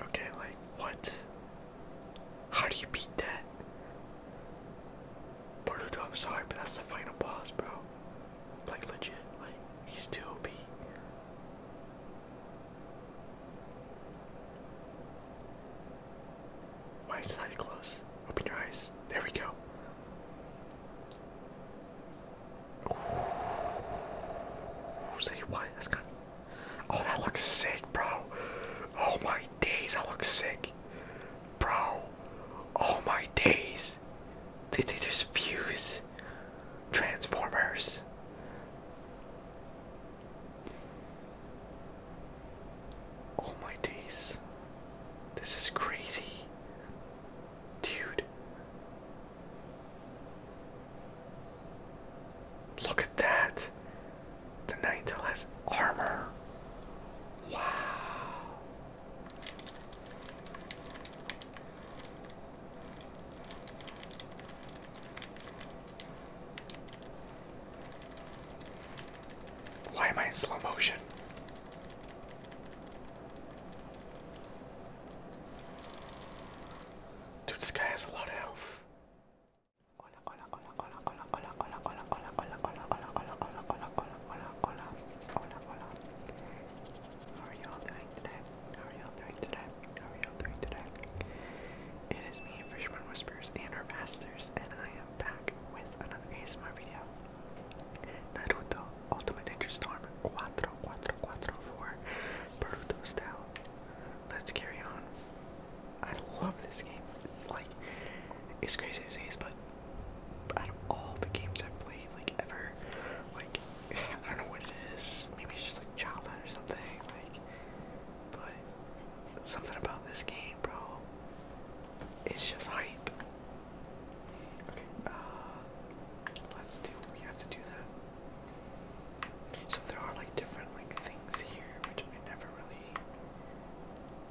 Okay, like what? How do you beat that? Boruto, I'm sorry, but that's the final boss, bro. Like legit, like he's too why is it that close? Open your eyes. There we go. Ooh, say what? That's kind Oh, that looks sick, bro. Oh my days, that looks sick. Bro. Oh my days. they just fuse Transformers? Oh my days. This is crazy. Dude. Look at that. The Ninetale has armor. Wow. Why am I in slow motion? Dude, this guy has a lot of health. Hola, hola, hola, hola, hola, hola, hola, hola, hola, hola, hola, hola, hola, hola, hola, hola, hola, hola, hola. are y'all doing today? are y'all doing today? are y'all doing today? It is me, Freshman Whispers, and our masters, and I am back with another ASMR video. Naruto Ultimate Ninja Storm 4444 Naruto style. Let's carry on. I love this game. Like, it's crazy to say this, but out of all the games i play, like, ever, like, I don't know what it is. Maybe it's just like childhood or something. Like, but something about this game, bro. It's just hype. Okay, uh, let's do. We have to do that. So there are like different like things here, which I never really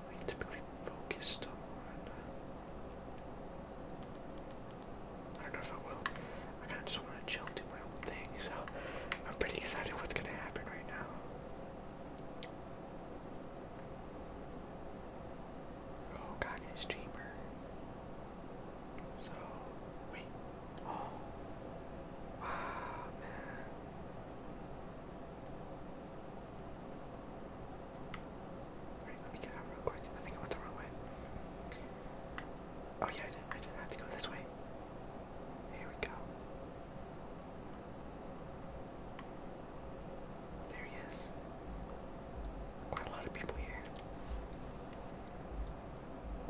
like typically focused on. I don't know if I will. I kind of just want to chill, do my own thing. So I'm pretty excited what's gonna happen right now. Oh, God, it's cheaper. So, wait. Oh. man. Alright, let me get out real quick. I think I went the wrong way. Oh yeah, I did. I did. I have to go this way. There we go. There he is. Quite a lot of people here.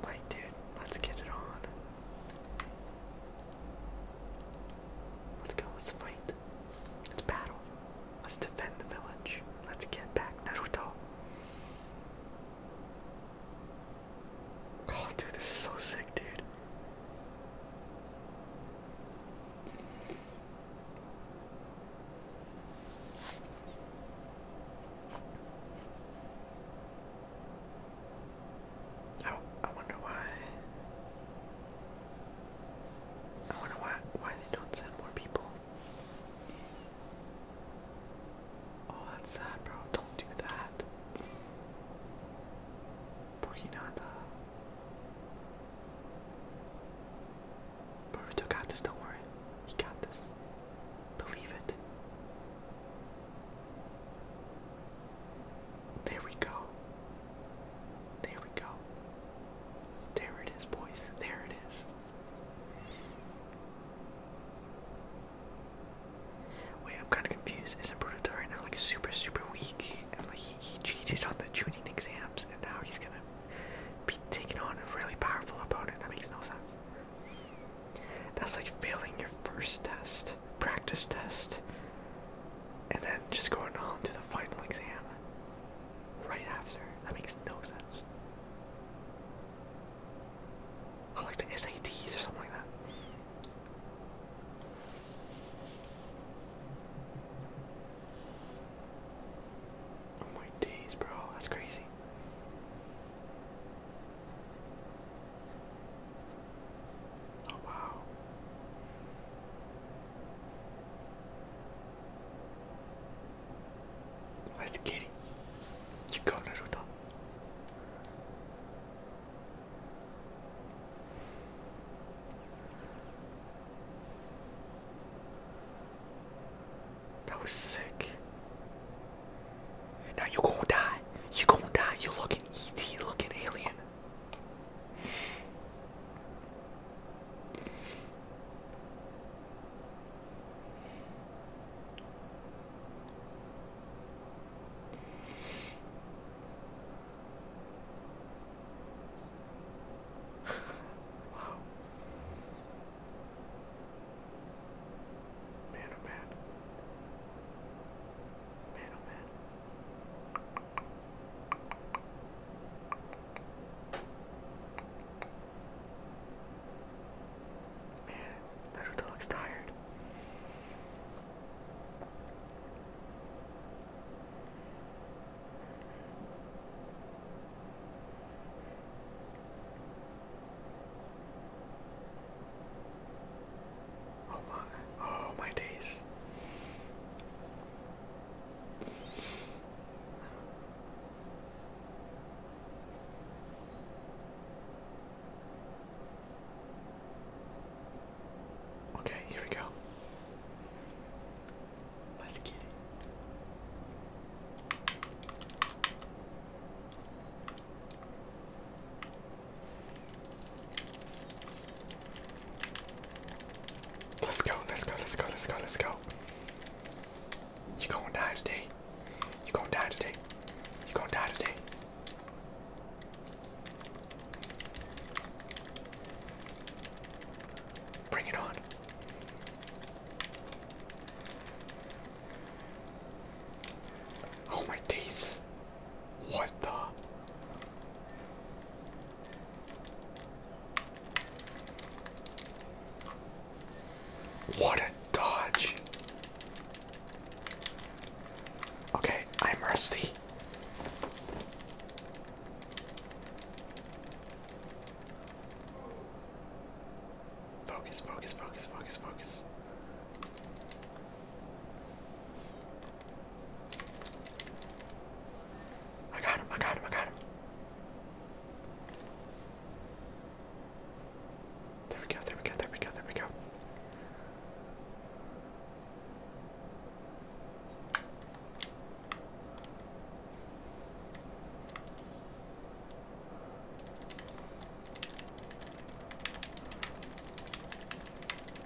Like, dude, let's get it on. Let's go, let's fight. Let's battle. Let's defend the village. Let's get back Naruto. Oh, dude, this is so sick, dude. I, I wonder why. I wonder why why they don't send more people. Oh, that's sad, bro. Don't do that. Porquinada. Boruto got this, don't worry. He got this. Believe it. There we go. There we go. There it is, boys. There it is. Wait, I'm kind of confused. Isn't Brutal right now like super, super weak? And like he, cheated on the tuning exams, and now he's gonna be taking on a really powerful opponent. That makes no sense. That's like failing your first test, practice test, and then just going on to the final exam right after. That makes no sense. I oh, like the SATs or something like that. Oh my days, bro, that's crazy. Oh wow. Let's get it. You go, Naruto. That was sick. Now you going die. You going die. You looking ET, looking alien wow. Man, oh man. Man, oh man. Man, Naruto looks tired. Oh my, oh my days. Okay, here we go. Let's get it. Let's go, let's go, let's go, let's go, let's go. You're gonna die today. You're gonna die today. You're gonna die today. Bring it on. Oh my days. What the? What a dodge. Okay, I'm rusty. Focus, focus, focus, focus, focus. I got him, I got him, I got him. There we go, there we go, there we go, there we go.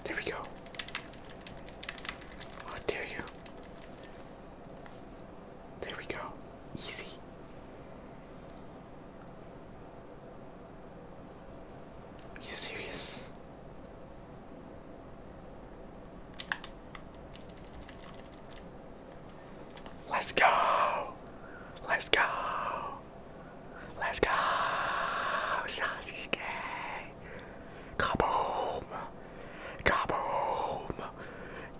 There we go. How dare you? There we go. Easy. Are you serious? Let's go! Let's go! Let's go! Sasuke! Kaboom! Kaboom!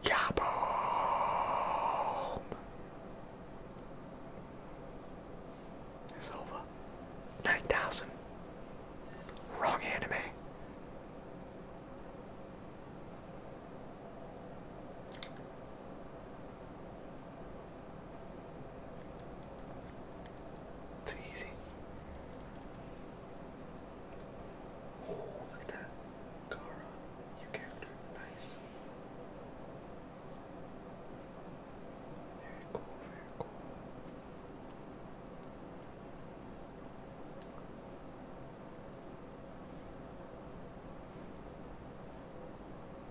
Kaboom! It's over. 9,000. Wrong anime. Too easy. Oh, look at that. new character. Nice.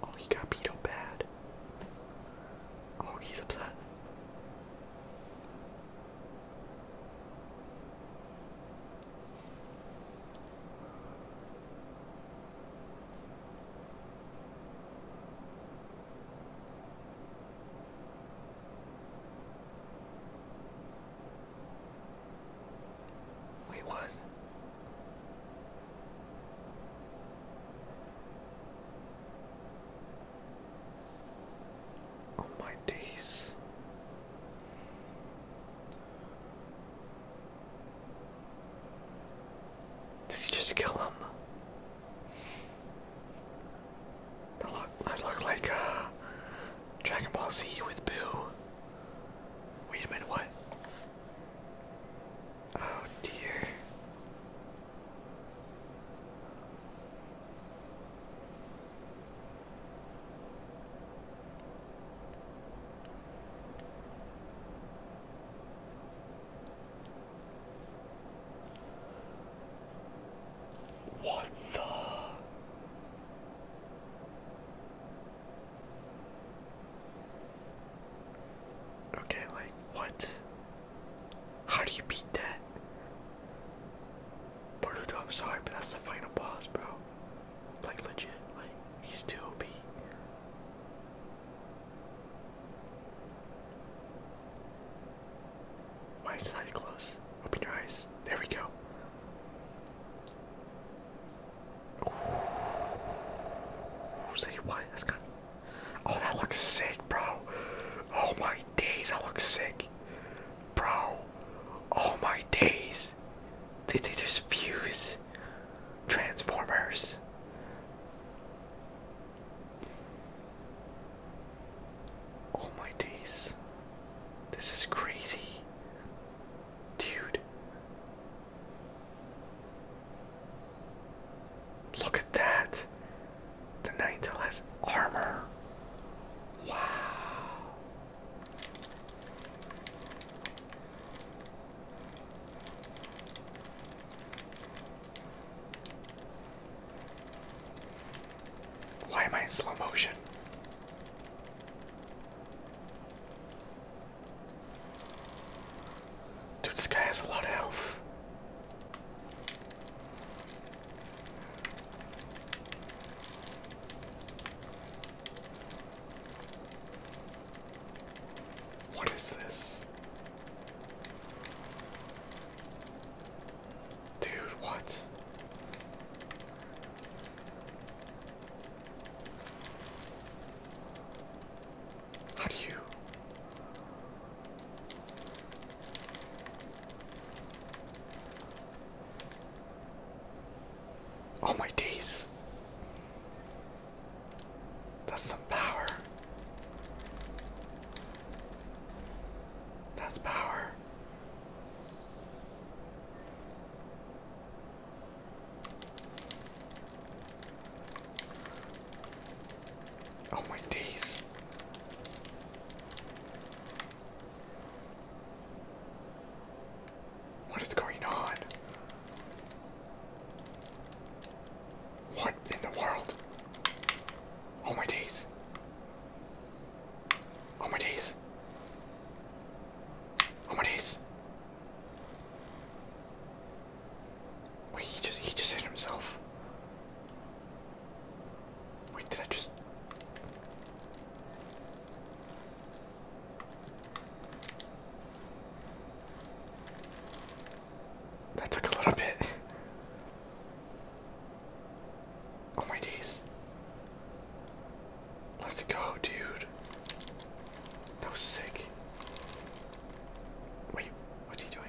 Oh, he got beat up bad. Oh, he's upset. Wait, what? Oh my days. Did he just kill him? That look, that look like a uh, Dragon Ball Z with Boo. Wait a minute, what? Oh dear. What the? Okay, like, what? How do you beat that? Boruto, I'm sorry, but that's the final boss, bro. Like, legit, like, he's too OP. Why is it that close? Open your eyes. There we go. Ooh, say what? That's Oh, that looks sick, bro. Oh my days, I look sick. Bro. All oh my days. They, they just fuse Transformers. Oh my days. This is crazy. Dude. Look at that. The Ninetale has armor. Wow. Why am I in slow motion? Dude, this guy has a lot of health. What is this? Dude, what? How do you? Oh my days. That's some power. That's power. Oh my days. What is going on? What in the world? Oh my days. Oh my days. Oh my days. Wait, he just he just hit himself. Wait, did I just that took a little bit. Oh my days. Let's go, dude. That was sick. Wait, what's he doing?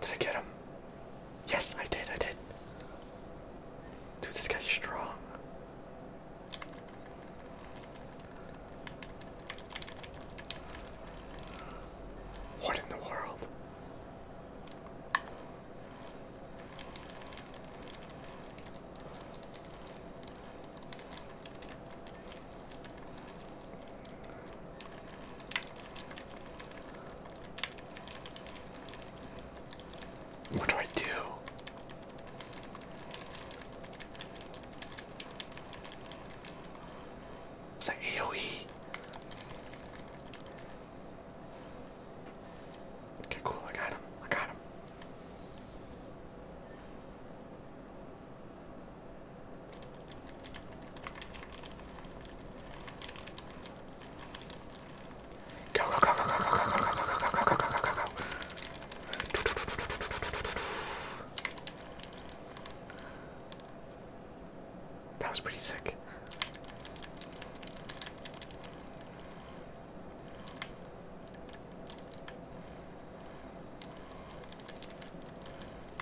Did I get him? Yes, I did, I did. Dude, this guy's strong. What in the world? What do I do? Is that AoE? Okay, cool, I got him. I got him. Go, go, go, go, go, go, go, go, go, go, go, go, go, go, go. That was pretty sick.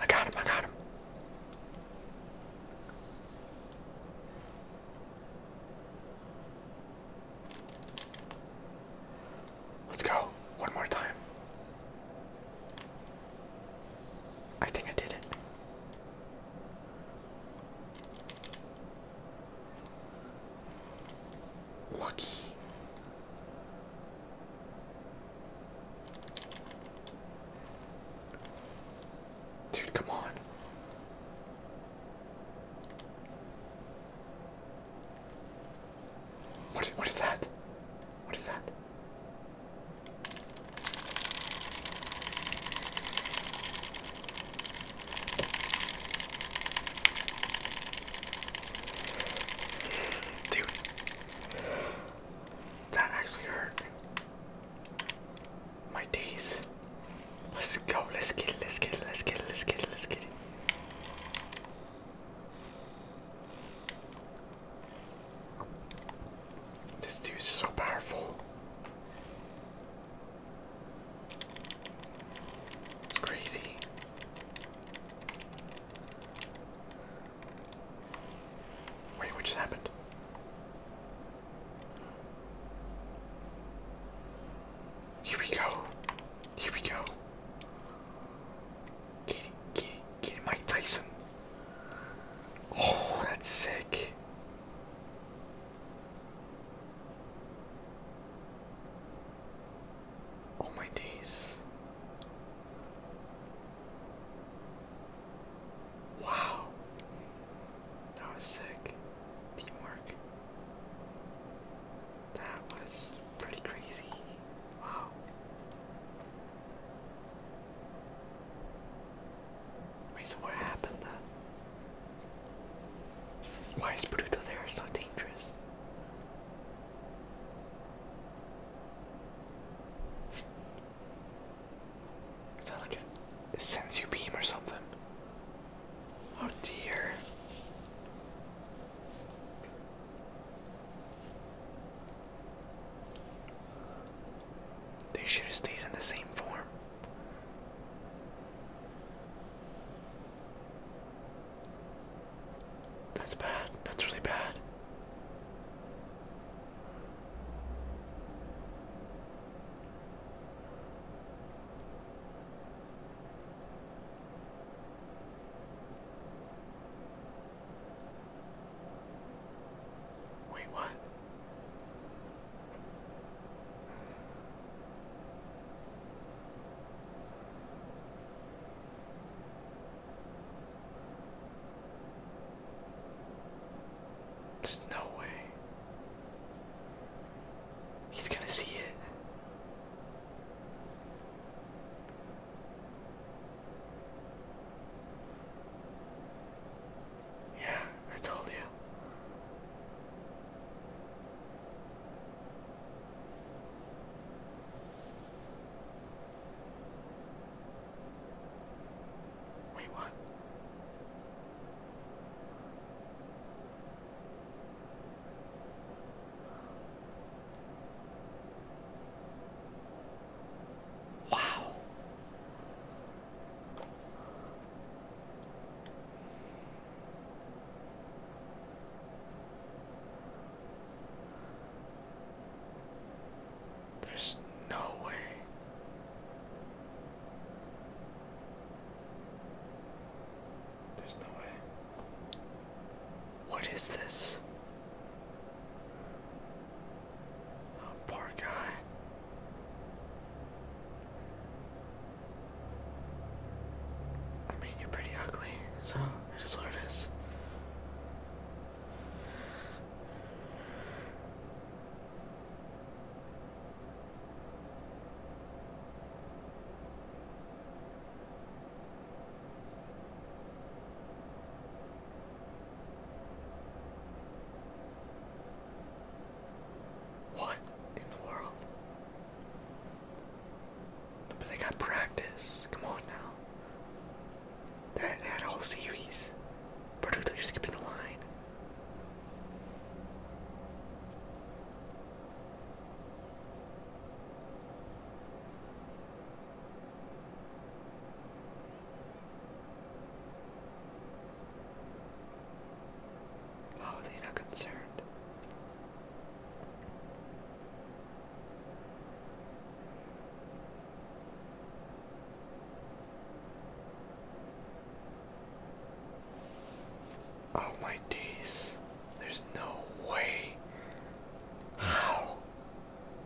I got him, I got him. Let's go. One more time. I think I did it. Lucky. Dude, come on. What is, what is that? What is that? Dude. That actually hurt. My days. Let's go. Let's get it. Let's get it. Let's get it. Let's get it. Let's get it. This dude's so powerful. It's crazy. Wait, what just happened? Here we go. Here we go. Kitty, kitty, kitty, Mike Tyson. Oh, that's sick. Oh my days. Wow. That was sick. Teamwork. That was pretty crazy. Wow. what happened then? Why is Bruto there so dangerous? It's like it sends you beam or something. Oh dear. They should have stayed in the same form. That's bad. That's really bad. Wait, what? There's no way. He's gonna see it. Yeah, I told you. Wait, what? Wow. There's no way. There's no way. What is this? Oh, poor guy. I mean, you're pretty ugly, so it is what it is. What in the world? But they got practice. Come on now. That, whole series. Producto, you're skipping the line. Oh, they not concerned. Oh my days. There's no way. How?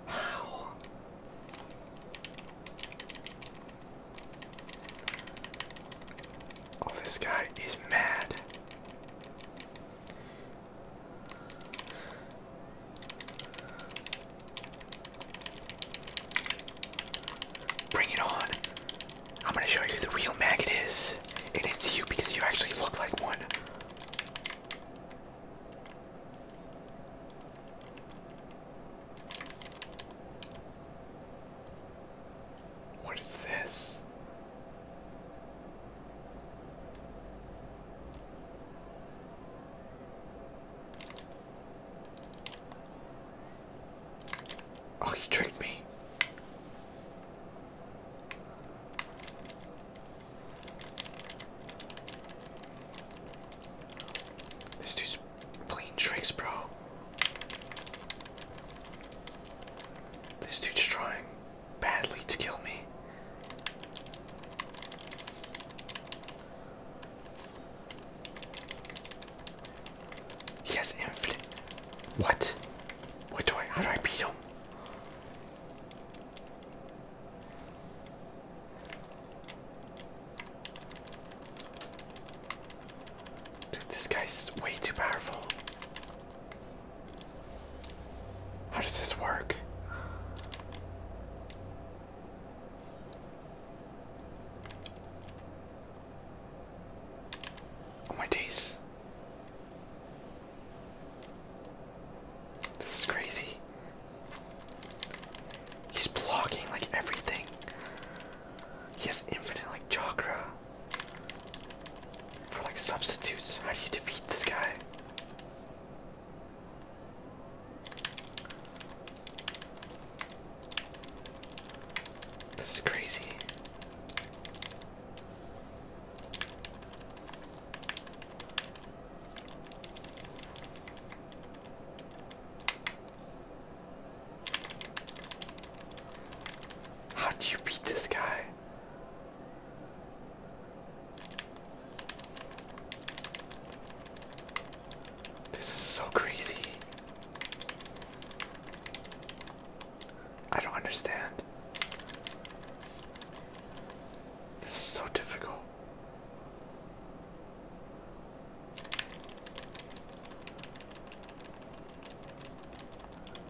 How? Oh, this guy is mad. Bring it on. I'm gonna show you who the real maggot is. And it's you because you actually look like one. What is this? Oh, he tricked me. This dude's playing tricks, bro. This dude's trying badly to kill me. He has infinite. What? What do I? How do I beat him? this guy's way too powerful. How does this work? Oh my days. This is crazy. He's blocking like everything. He has infinite like chakra. For like substitutes. How do you defeat this guy? This is crazy. How do you beat this guy? This is so crazy. I don't understand. This is so difficult.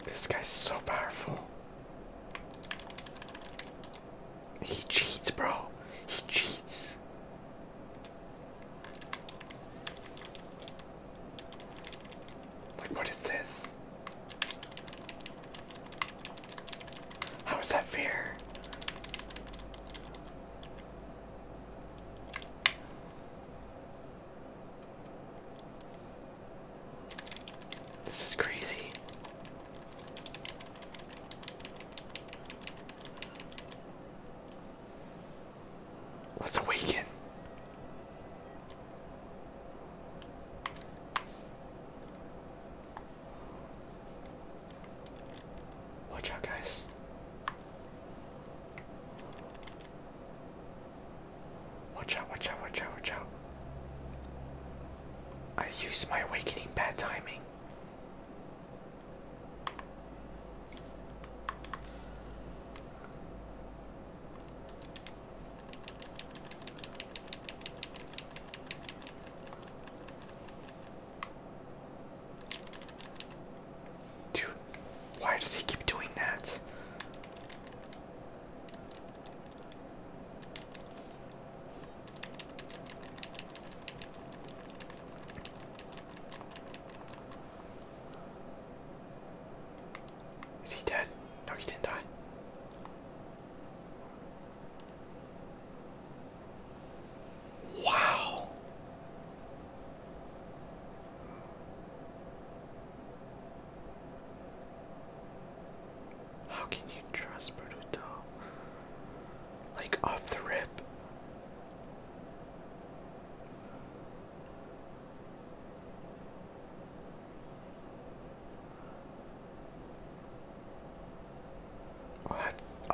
This guy's so powerful. He cheats, bro. He cheats. Like, what is this? How is that fair? This is crazy. Let's awaken. Watch out, guys. Watch out, watch out, watch out, watch out. I used my awakening bad timing. Dude, why does he keep doing that? Is he dead? No, he didn't die. Wow. How can you trust Boruto? Like off the rip.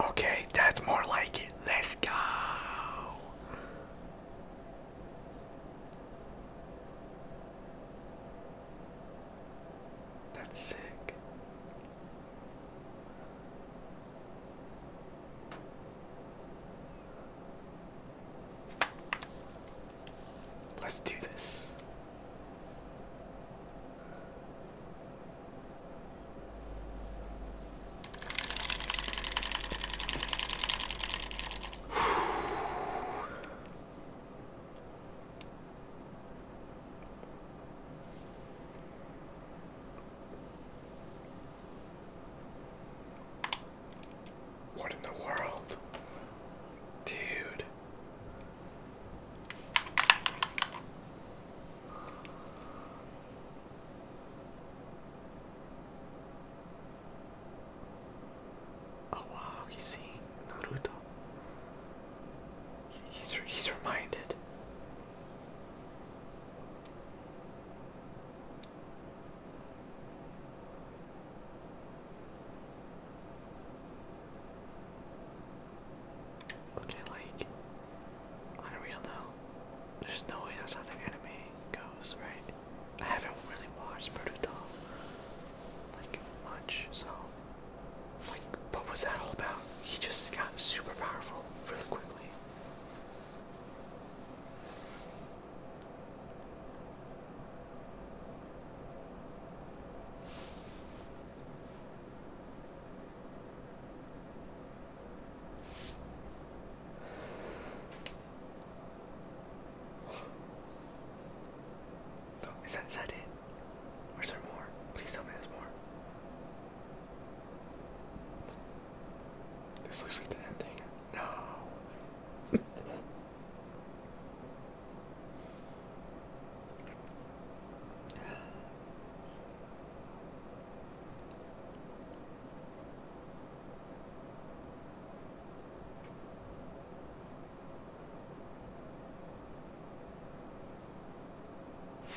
okay, that's more like it. Let's go. That's sick. Let's do this. What in the world? Dude. Oh wow, you see Naruto. He's he's reminded. Okay, like on though, there's no way that's how the anime goes, right? I haven't really watched Naruto like much, so like, what was that all about? He just got super powerful really quickly. Oh, is that, is it? Where's there more? Please tell me there's more. This looks like the ending. No.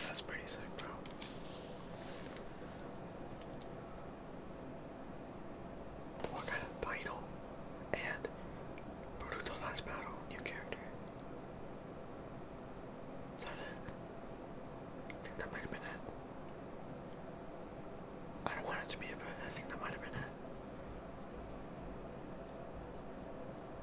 That's pretty sick, bro. What kind of final and brutal last battle? New character. Is that it? I that might have been I don't want it to be it, but I think that might have been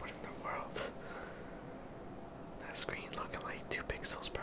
What in the world? That screen looking like two pixels, bro.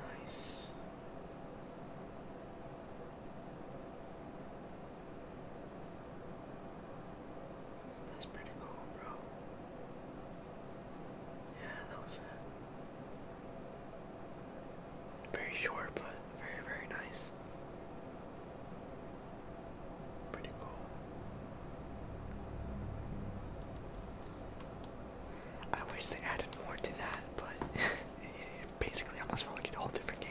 Nice. That's pretty cool, bro. Yeah, that was Very short, but very, very nice. Pretty cool. I wish they added more to that, but it basically almost felt like a whole different game.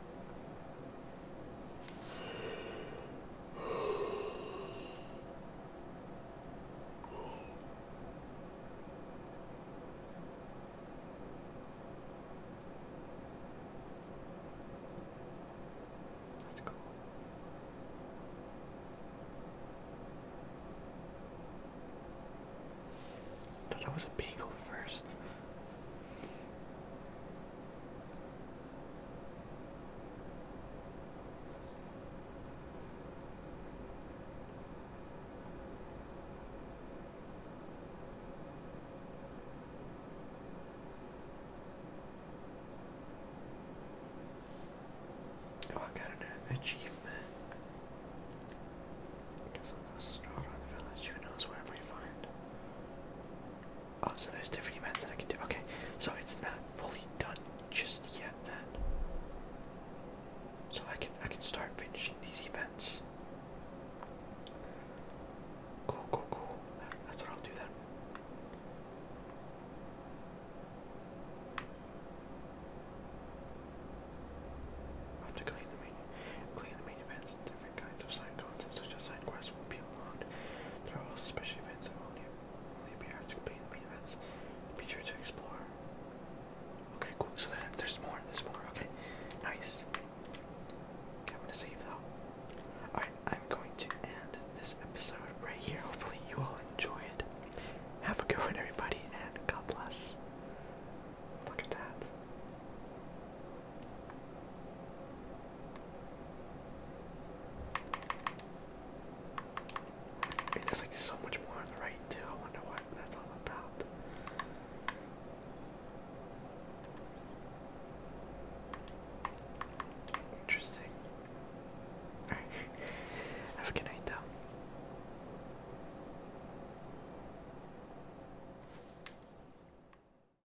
That's cool. Thought that was a beagle first. Oh, I got an achievement. I guess I'll go start on the village. Who knows where we find? Oh, so there's different events that I can do. Okay, so it's not fully done just yet then. So I can I can start finishing these events. Cool, cool, cool. That's what I'll do then. I have to clean the main, clean the main events different kinds of side content, such as side quests, will be allowed. There are also special events that will only, only have to complete the main events. Be sure to explore. Okay, cool. So there, there's more. There's more. Okay, nice. I'm gonna save though. Alright, I'm going to end this episode right here. Hopefully, you all enjoyed. Have a good one, everybody, and God bless. Look at that there's like so much more on the right too. I wonder what that's all about. Interesting. Alright. Have a good night though.